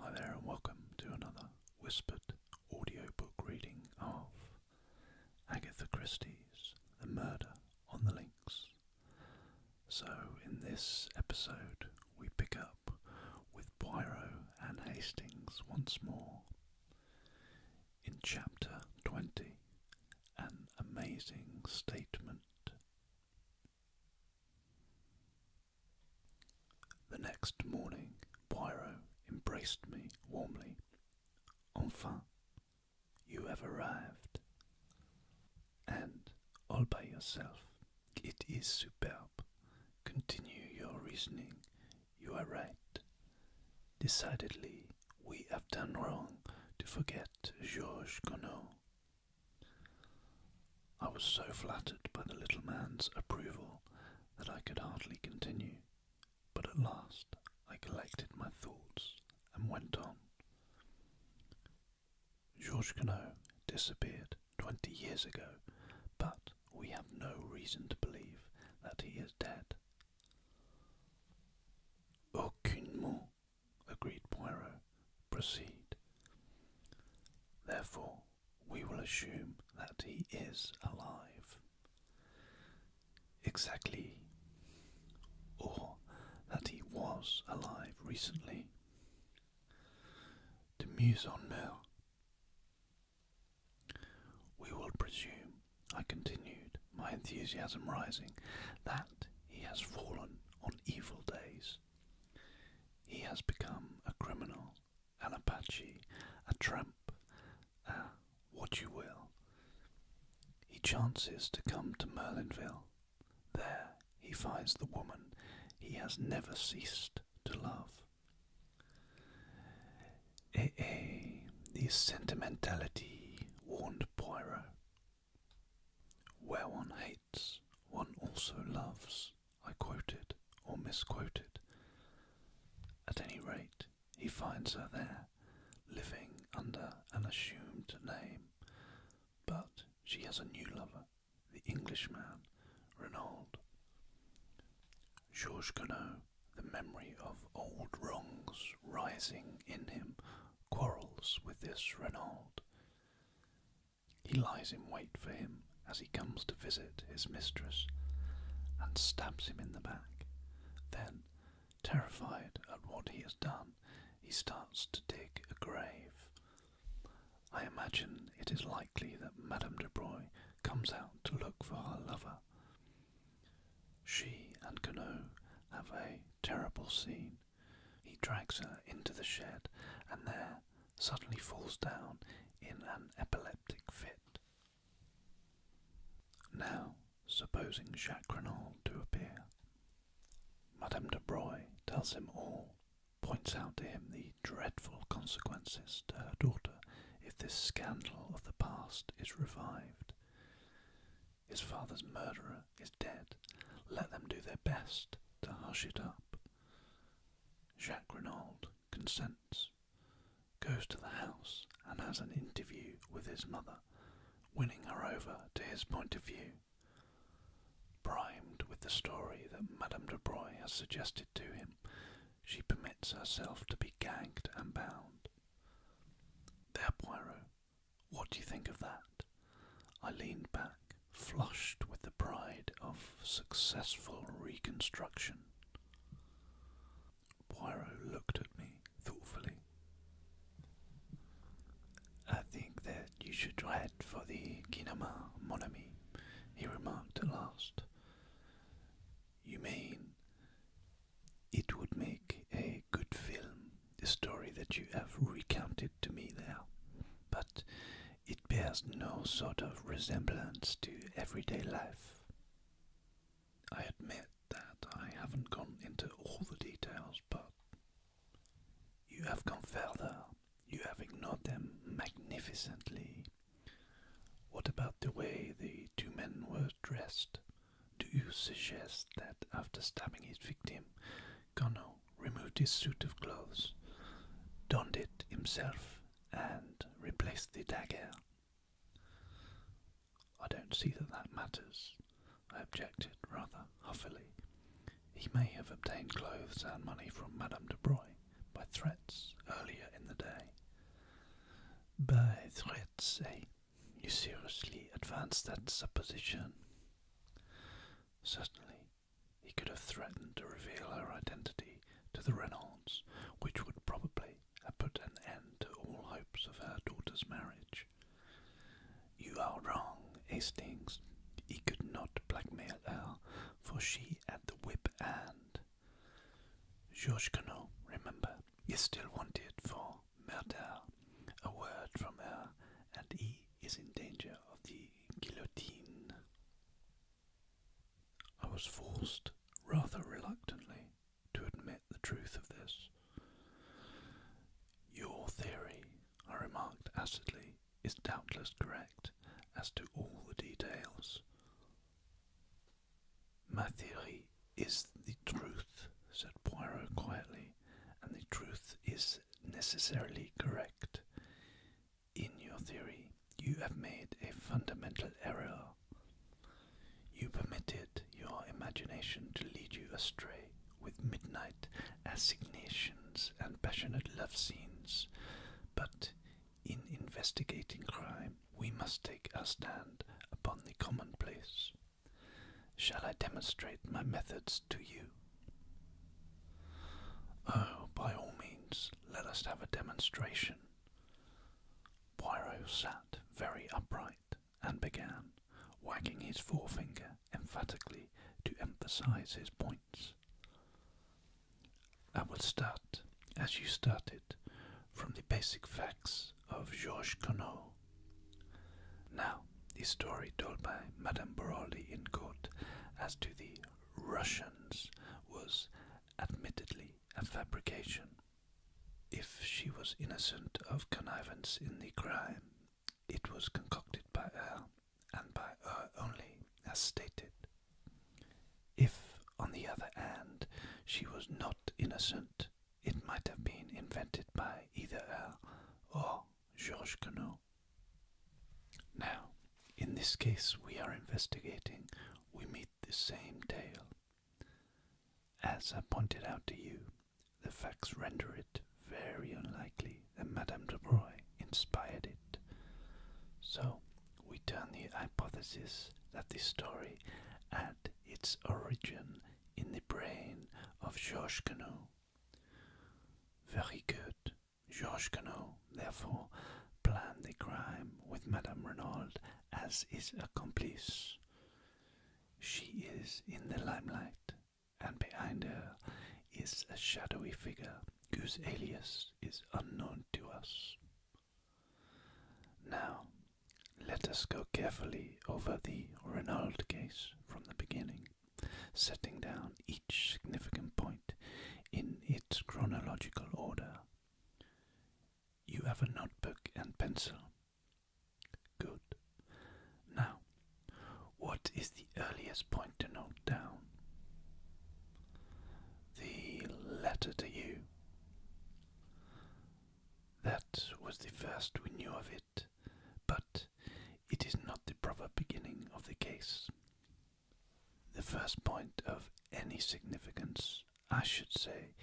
Hi there, and welcome to another whispered audio book reading of Agatha Christie's The Murder on the Links. So, in this episode, we pick up with Poirot and Hastings once more. In Chapter 20, An Amazing Statement. The next morning, Poirot embraced me warmly. Enfin, you have arrived. And all by yourself, it is superb. Continue your reasoning. You are right. Decidedly, we have done wrong to forget Georges Gonod I was so flattered by the little man's approval that I could hardly continue, but at last I collected my thoughts and went on. Georges Queneau disappeared twenty years ago, but we have no reason to believe that he is dead. Aucunement, agreed Poirot. Proceed. Therefore, we will assume that he is alive. Exactly, or that he was alive recently. To muse on more, we will presume, I continued, my enthusiasm rising, that he has fallen on evil days. He has become a criminal an Apache, a tramp, a what you will. He chances to come to Merlinville. There he finds the woman he has never ceased to love. Eh, eh, the sentimentality, warned Poirot. Whereon one also loves, I quoted or misquoted. At any rate, he finds her there, living under an assumed name. But she has a new lover, the Englishman, Renaud. Georges Conot, the memory of old wrongs rising in him, quarrels with this Renaud. He lies in wait for him as he comes to visit his mistress and stabs him in the back. Then, terrified at what he has done, he starts to dig a grave. I imagine it is likely that Madame de Broglie comes out to look for her lover. She and Cano have a terrible scene. He drags her into the shed, and there, suddenly falls down in an epileptic fit. Now, supposing Jacques Renault to appear, Madame de Broglie tells him all, points out to him the dreadful consequences to her daughter if this scandal of the past is revived. His father's murderer is dead. Let them do their best to hush it up. Jacques Renault consents, goes to the house, and has an interview with his mother, winning her over to his point of view. Primed with the story that Madame de Broglie has suggested to him, she permits herself to be gagged and bound. There, Poirot, what do you think of that? I leaned back, flushed with the pride of successful reconstruction. Poirot looked at me thoughtfully. I think that you should write for the Kinema Monami, he remarked at last. You mean it would make a good film, the story that you have recounted to me there, but it bears no sort of resemblance to everyday life. I admit that I haven't gone into all the details, but you have gone further. You have ignored them magnificently. What about the way the two men were dressed? Do you suggest that after stabbing his victim, Gono removed his suit of clothes, donned it himself, and replaced the dagger. I don't see that that matters, I objected rather huffily. He may have obtained clothes and money from Madame de Broglie by threats earlier in the day. By threats, eh? You seriously advance that supposition? Certainly, he could have threatened to reveal her identity to the Reynolds, which would probably have put an end to all hopes of her daughter's marriage. You are wrong, Hastings. He could not blackmail her, for she had the whip and Georges Cano, remember, is still wanted for murder. A word from her, and he is in danger of the guillotine. I was forced, rather reluctantly, to admit the truth of this. Your theory, I remarked acidly, is doubtless correct as to all the details. My theory is the truth, said Poirot quietly, and the truth is necessarily correct. In your theory, you have made a fundamental error. You permitted your imagination to lead you astray with midnight assignations and passionate love scenes, but in investigating crime, we must take our stand upon the commonplace. Shall I demonstrate my methods to you? Oh, by all means, let us have a demonstration. Poirot sat very upright and began, wagging his forefinger emphatically to emphasize his points. I will start, as you started, from the basic facts of Georges Conot. Now, the story told by Madame Boroli in court as to the Russians was admittedly a fabrication. If she was innocent of connivance in the crime, it was concocted by her, and by her only, as stated. If, on the other hand, she was not innocent, it might have been invented by either her or Georges Queneau now. in this case we are investigating, we meet the same tale. As I pointed out to you, the facts render it very unlikely that Madame de Broglie inspired it. So, we turn the hypothesis that this story had its origin in the brain of Georges Canot. Very good. Georges Queneau therefore planned the crime with Madame Renault as his accomplice. She is in the limelight, and behind her is a shadowy figure whose alias is unknown to us. Now, let us go carefully over the Renault case from the beginning, setting down each significant point in its chronological order. You have a notebook and pencil. Good. Now, what is the earliest point to note down? The letter to you. That was the first we knew of it, but it is not the proper beginning of the case. The first point of any significance, I should say,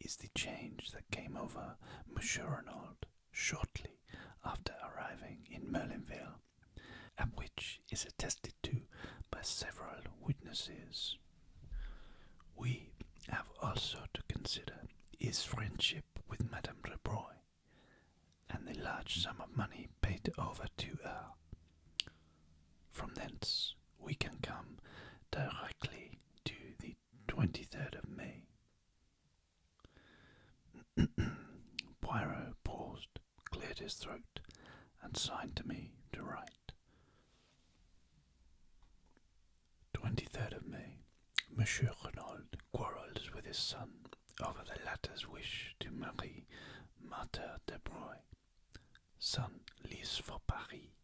is the change that came over Monsieur Renault shortly after arriving in Merlinville, and which is attested to by several witnesses. We have also to consider his friendship with Madame Rebreuil and the large sum of money paid over to her. From thence we can come directly to the 23rd of May. Poirot paused, cleared his throat, and signed to me to write. 23rd of May. Monsieur Renaud quarrelled with his son over the latter's wish to marry Marthe de Broglie. July. Sun leaves for Paris.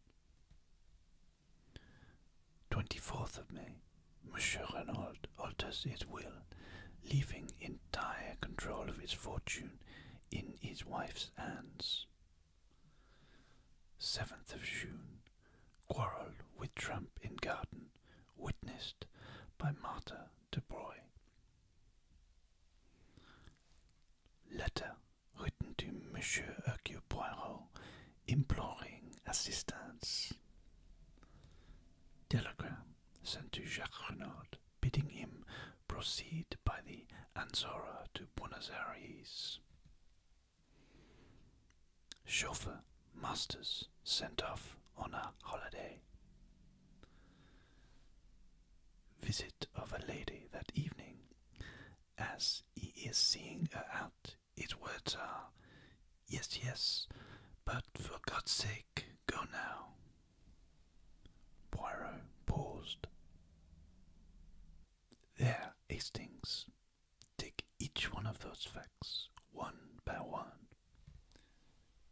24th of May. Monsieur Renault alters his will, leaving entire control of his fortune in his wife's hands. 7th of June. Quarrel with Trump in garden, witnessed by Martha Dubroy. Letter written to Monsieur Hercule Poirot imploring assistance. Telegram sent to Jacques Renard, bidding him proceed by the Anzora to Buenos Aires. Chauffeur Masters sent off on a holiday visit of a lady that evening. As he is seeing her out, his words are, Yes, yes, but for God's sake, go now. Poirot paused. There, Hastings. Take each one of those facts, one by one.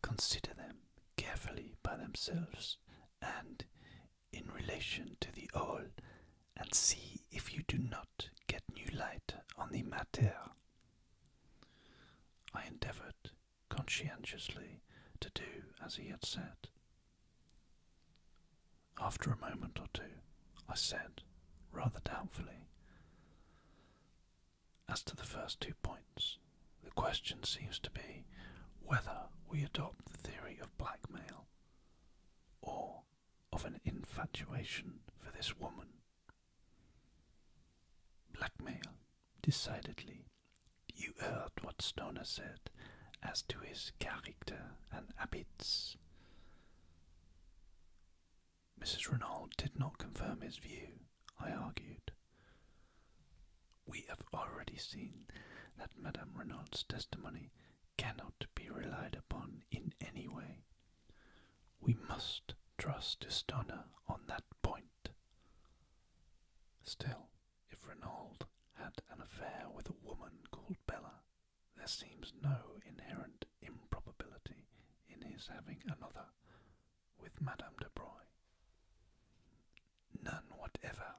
Consider them carefully by themselves and in relation to the all, and see if you do not get new light on the matter. I endeavoured conscientiously to do as he had said. After a moment or two, I said, rather doubtfully, as to the first two points, the question seems to be whether we adopt the theory of blackmail or of an infatuation for this woman. Blackmail, decidedly. You heard what Stoner said as to his character and habits. Mrs. Renault did not confirm his view, I argued. We have already seen that Madame Renault's testimony cannot be relied upon in any way. We must trust Estona on that point. Still, if Renault had an affair with a woman called Bella, there seems no inherent improbability in his having another with Madame de Broglie. None whatever,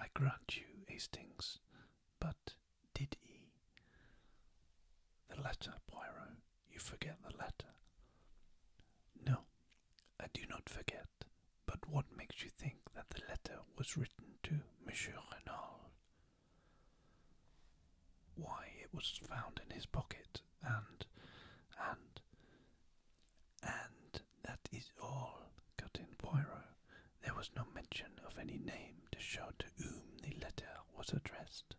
I grant you, Hastings, but did he? The letter, Poirot, you forget the letter. No, I do not forget, but what makes you think that the letter was written to Monsieur Renal? Why, it was found in his pocket, and, and, and that is all, cut in Poirot. There was no mention of any name to show to whom the letter was addressed.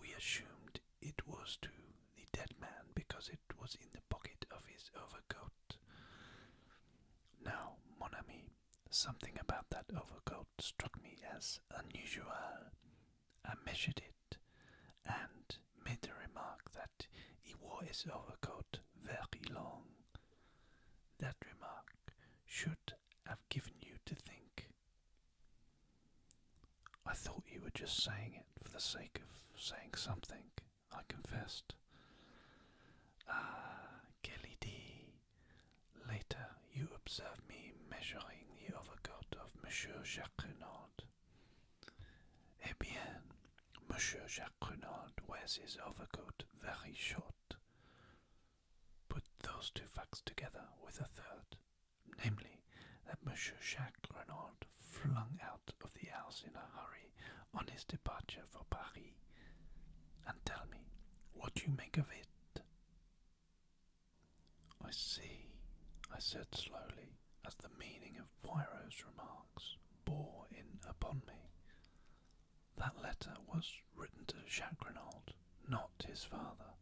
We assumed it was to the dead man because it was in the pocket of his overcoat. Now, mon something about that overcoat struck me as unusual. I measured it and made the remark that he wore his overcoat very long. That remark should have given you to think. I thought you were just saying it for the sake of saying something, I confessed. Ah, Kelly D. Later you observed me measuring the overcoat of Monsieur Jacques Renaud. Eh bien, Monsieur Jacques Renard wears his overcoat very short. Put those two facts together with a third, namely, that Monsieur Jacques Renard flung out of the house in a hurry on his departure for Paris. And tell me, what do you make of it? I see, I said slowly as the meaning of Poirot's remarks bore in upon me. That letter was written to Jacques Renault, not his father.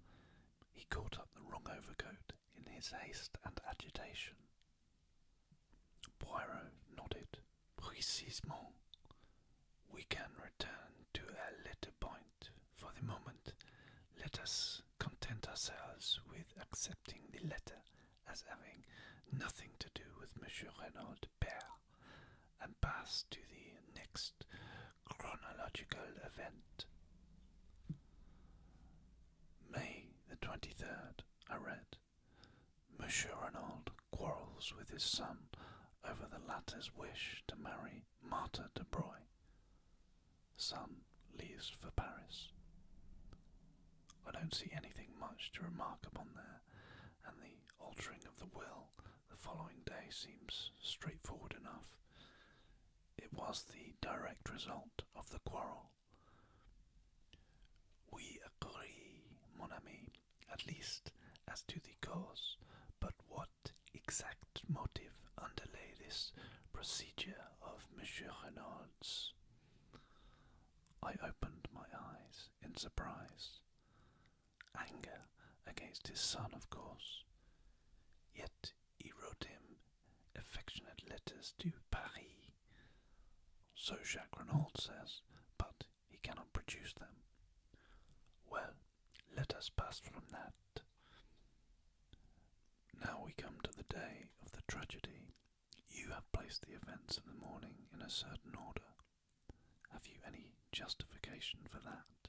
He caught up the wrong overcoat in his haste and agitation. Poirot nodded. Precisement. We can return to a later point. For the moment, let us content ourselves with accepting the letter as having nothing to do with Monsieur Renaud de Pere, and pass to the next chronological event. May the 23rd, I read. Monsieur Renaud quarrels with his son over the latter's wish to marry Martha de Broye son leaves for Paris. I don't see anything much to remark upon there, and the altering of the will the following day seems straightforward enough. It was the direct result of the quarrel. We agree, mon ami, at least as to the cause, but what exact motive underlay this procedure of Monsieur Renaud's? I opened my eyes in surprise. Anger against his son, of course. Yet he wrote him affectionate letters to Paris. So Jacques says, but he cannot produce them. Well, let us pass from that. Now we come to the day of the tragedy you have placed the events of the morning in a certain order. Have you any justification for that?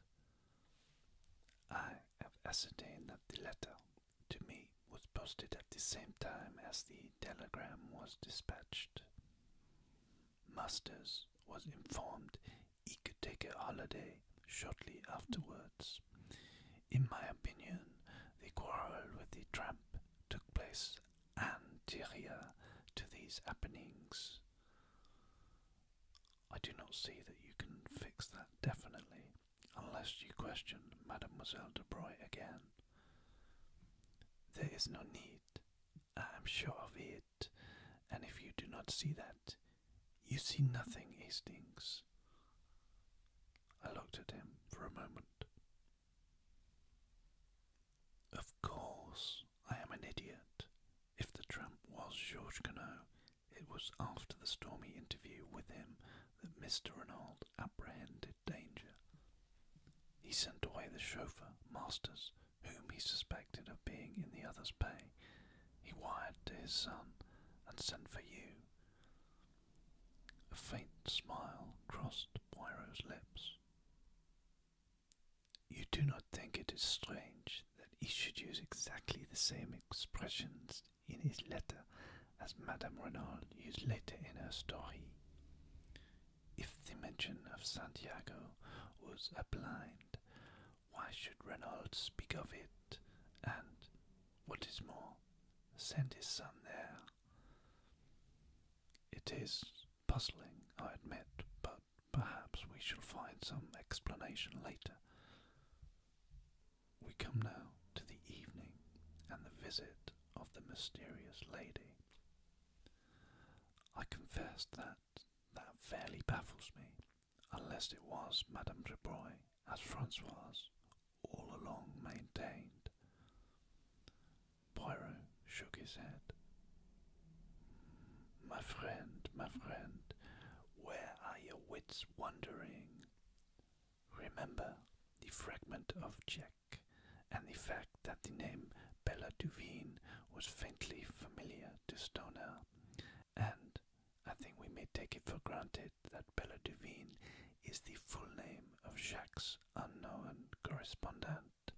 I have ascertained that the letter to me was posted at the same time as the telegram was dispatched. Masters was informed he could take a holiday shortly afterwards. In my opinion, the quarrel with the tramp took place anterior to these happenings. I do not see that you can fix that definitely, unless you question Mademoiselle de Broglie again. There is no need, I am sure of it, and if you do not see that, you see nothing, Hastings. I looked at him for a moment. Of course, I am an idiot. If the tramp was Georges Gannot, it was after the stormy interview with him that Mr. Renault apprehended danger. He sent away the chauffeur, Masters, whom he suspected of being in the other's pay. He wired to his son and sent for you. A faint smile crossed Poirot's lips. You do not think it is strange that he should use exactly the same expressions in his letter as Madame Renal used later in her story. If the mention of Santiago was a blind, why should Reynolds speak of it and, what is more, send his son there? It is puzzling, I admit, but perhaps we shall find some explanation later. We come now to the evening and the visit of the mysterious lady. I confess that that fairly baffles me, unless it was Madame de Broglie as Francois, all along maintained. Poirot shook his head. My friend, my friend, where are your wits wandering? Remember the fragment of Jack and the fact that the name Bella Duveen was faintly familiar to Stoner, and I think we may take it for granted that that Bella Duvine is the full name of Jacques' unknown correspondent,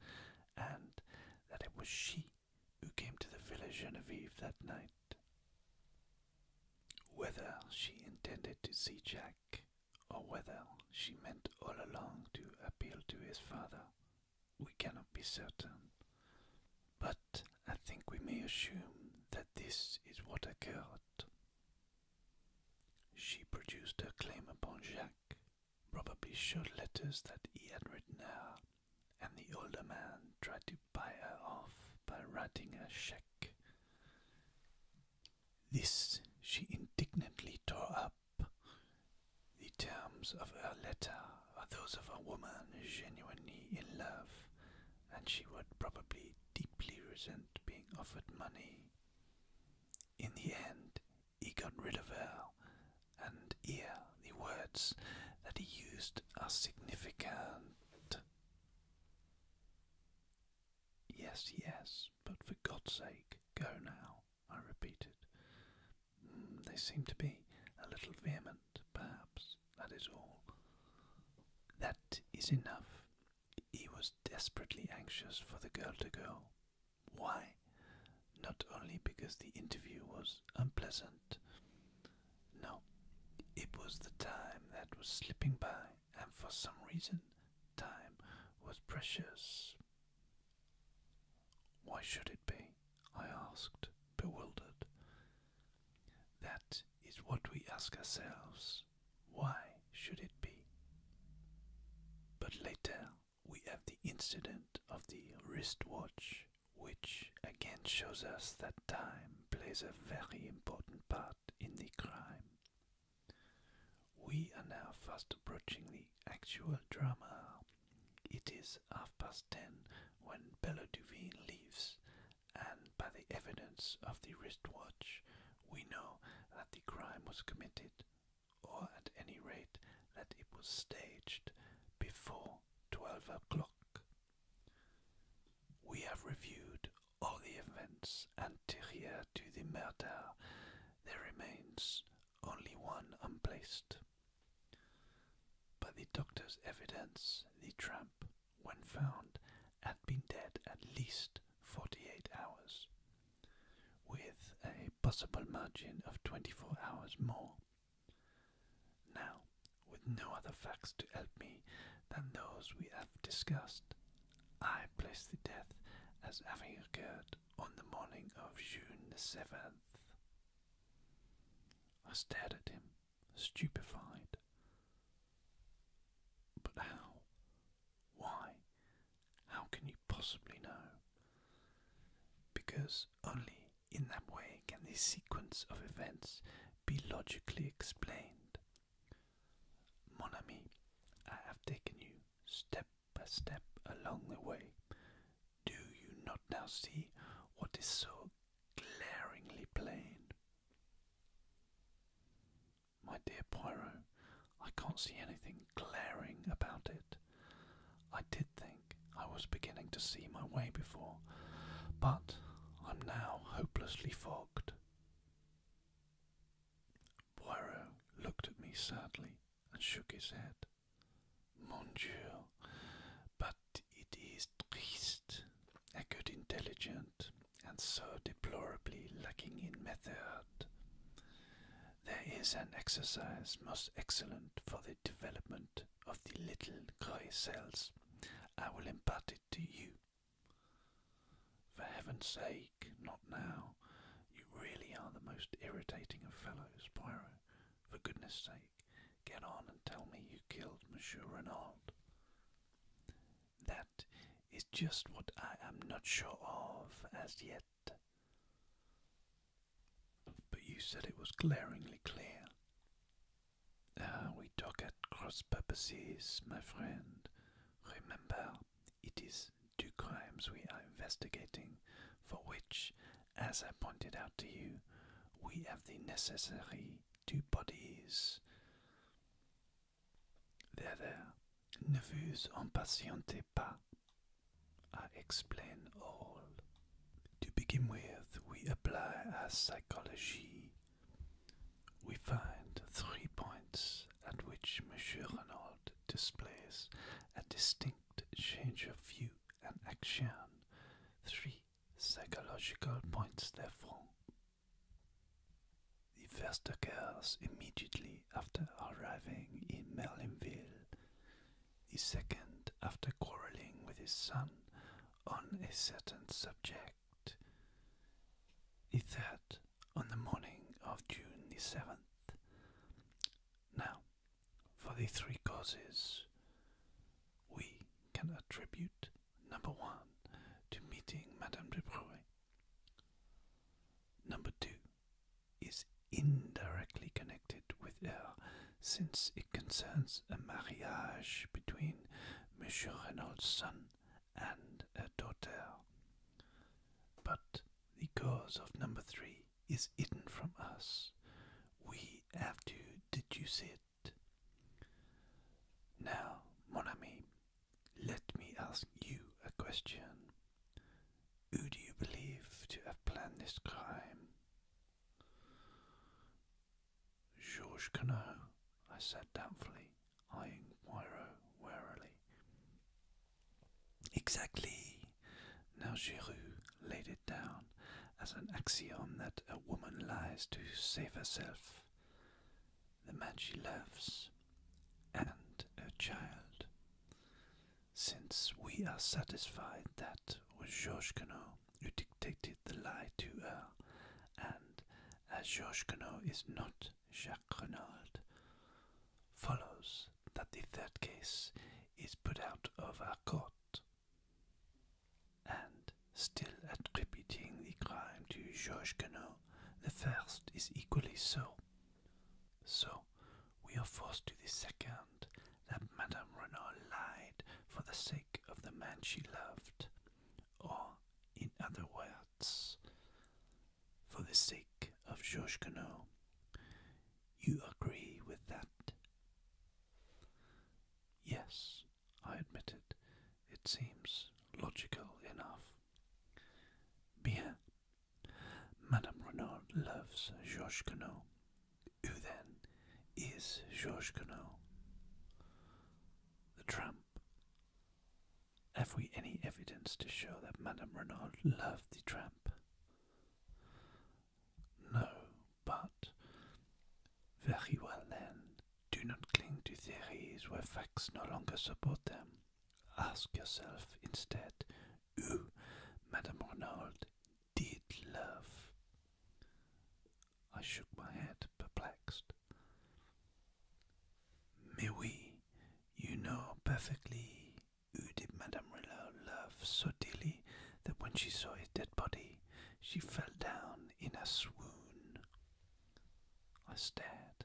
and that it was she who came to the Villa Genevieve that night. Whether she intended to see Jack, or whether she meant all along to appeal to his father, we cannot be certain. But I think we may assume that this is what occurred. She produced her claim upon Jacques, probably showed letters that he had written her, and the older man tried to buy her off by writing a cheque. This she indignantly tore up. The terms of her letter are those of a woman genuinely in love, and she would probably deeply resent being offered money in the end, he got rid of her, and here the words that he used are significant. Yes, yes, but for God's sake, go now, I repeated. Mm, they seem to be a little vehement, perhaps, that is all. That is enough, he was desperately anxious for the girl to go. Why? Not only because the interview was unpleasant. No, it was the time that was slipping by, and for some reason, time was precious. Why should it be? I asked, bewildered. That is what we ask ourselves why should it be? But later we have the incident of the wristwatch, which again shows us that time plays a very important part in the crime. We are now fast approaching the actual drama. It is half past ten when Bella Duvine leaves, and by the evidence of the wristwatch, we know that the crime was committed, or at any rate that it was staged, before 12 o'clock. We have reviewed all the events anterior to the murder. There remains only one unplaced. By the doctor's evidence, the tramp, when found, had been dead at least 48 hours, with a possible margin of 24 hours more. Now, with no other facts to help me than those we have discussed, I place the death as having occurred on the morning of June the 7th. I stared at him, stupefied. But how? Why? How can you possibly know? Because only in that way can this sequence of events be logically explained. Mon I have taken you step by step along the way. Do you not now see what is so glaringly plain? My dear Poirot, I can't see anything glaring about it. I did think I was beginning to see my way before, but I'm now hopelessly fogged. Poirot looked at me sadly and shook his head. Mon Dieu, but it is triste. A good, intelligent, and so deplorably lacking in method. There is an exercise most excellent for the development of the little grey cells. I will impart it to you. For heaven's sake, not now. You really are the most irritating of fellows, Poirot. For goodness sake, get on and tell me you killed Monsieur Renaud. That is just what I am not sure of as yet. But you said it was glaringly clear. Ah, we talk at cross purposes, my friend. Remember, it is two crimes we are investigating, for which, as I pointed out to you, we have the necessary two bodies. There, there, ne vous impatientez pas. I explain all. To begin with, we apply our psychology. We find three points at which Monsieur Renault displays a distinct change of view and action. Three psychological points, therefore. The first occurs immediately after arriving in Merlinville, the second after quarreling with his son on a certain subject, the third on the morning of June the 7th. Now, for the three causes, we can attribute number one to meeting Madame de Bruyne Number two is indirectly connected with her, since it concerns a marriage between Monsieur Renault's son and a daughter. But the cause of number three is hidden from us. We have to deduce it. Now, mon ami, let me ask you a question. Who do you believe to have planned this crime? Georges Cano, I said doubtfully, eyeing Poirot warily. Exactly. Now Giroux laid it down as an axiom that a woman lies to save herself the man she loves, and her child. Since we are satisfied that was Georges Queneau who dictated the lie to her, and as Georges Queneau is not Jacques Renaud, follows that the third case is put out of our court. And still attributing the crime to Georges Queneau, the first is equally so. So we are forced to the second that Madame Renault lied for the sake of the man she loved, or, in other words, for the sake of Georges Queneau. You agree with that? Yes, I admitted it seems logical enough. Bien. Madame Renaud loves Georges Queneau. Who then is Georges Queneau? The tramp. Have we any evidence to show that Madame Renaud loved the tramp? No, but very well then. Do not cling to theories where facts no longer support them. Ask yourself instead who Madame Renault did love. I shook my head, perplexed. Mais oui, you know perfectly who did Madame Renault love so dearly that when she saw his dead body, she fell down in a swoon. I stared,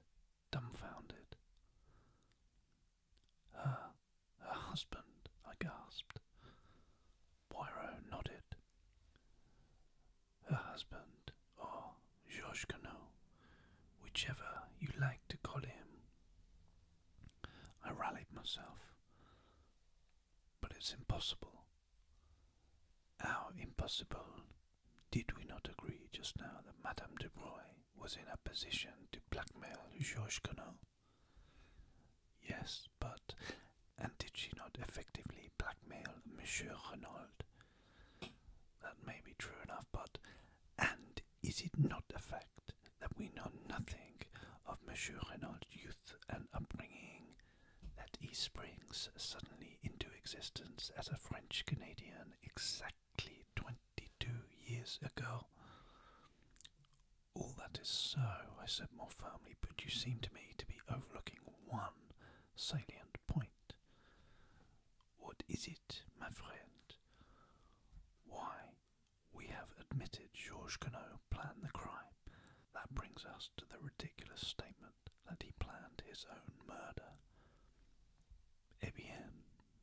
dumbfounded. Her, her husband, I gasped. Poirot nodded. Her husband, or oh, Georges Cano, whichever you like to call him. I rallied myself. But it's impossible. How impossible did we not agree just now that Madame Dubroy was in a position to blackmail Georges Renault? Yes, but and did she not effectively blackmail Monsieur Renault? That may be true enough, but and is it not a fact that we know nothing of Monsieur Renault's youth and upbringing, that he springs suddenly into existence as a French Canadian exactly? exactly 22 years ago. All that is so, I said more firmly, but you seem to me to be overlooking one salient point. What is it, my friend? Why, we have admitted Georges Gannot planned the crime. That brings us to the ridiculous statement that he planned his own murder. Eh bien,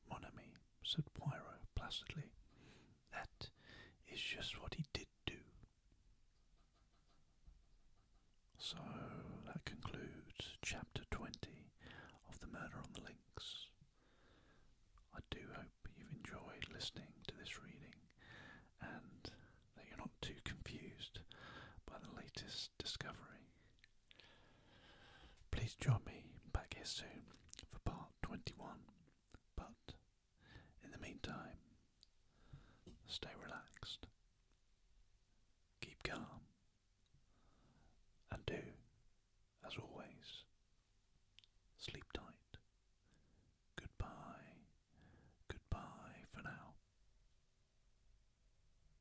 mon ami, said Poirot placidly, that is just what he did do. So that concludes chapter 20 of The Murder on the Links. I do hope you've enjoyed listening to this reading and that you're not too confused by the latest discovery. Please join me back here soon for part 21. But in the meantime, stay relaxed, keep calm, and do, as always, sleep tight. Goodbye, goodbye for now.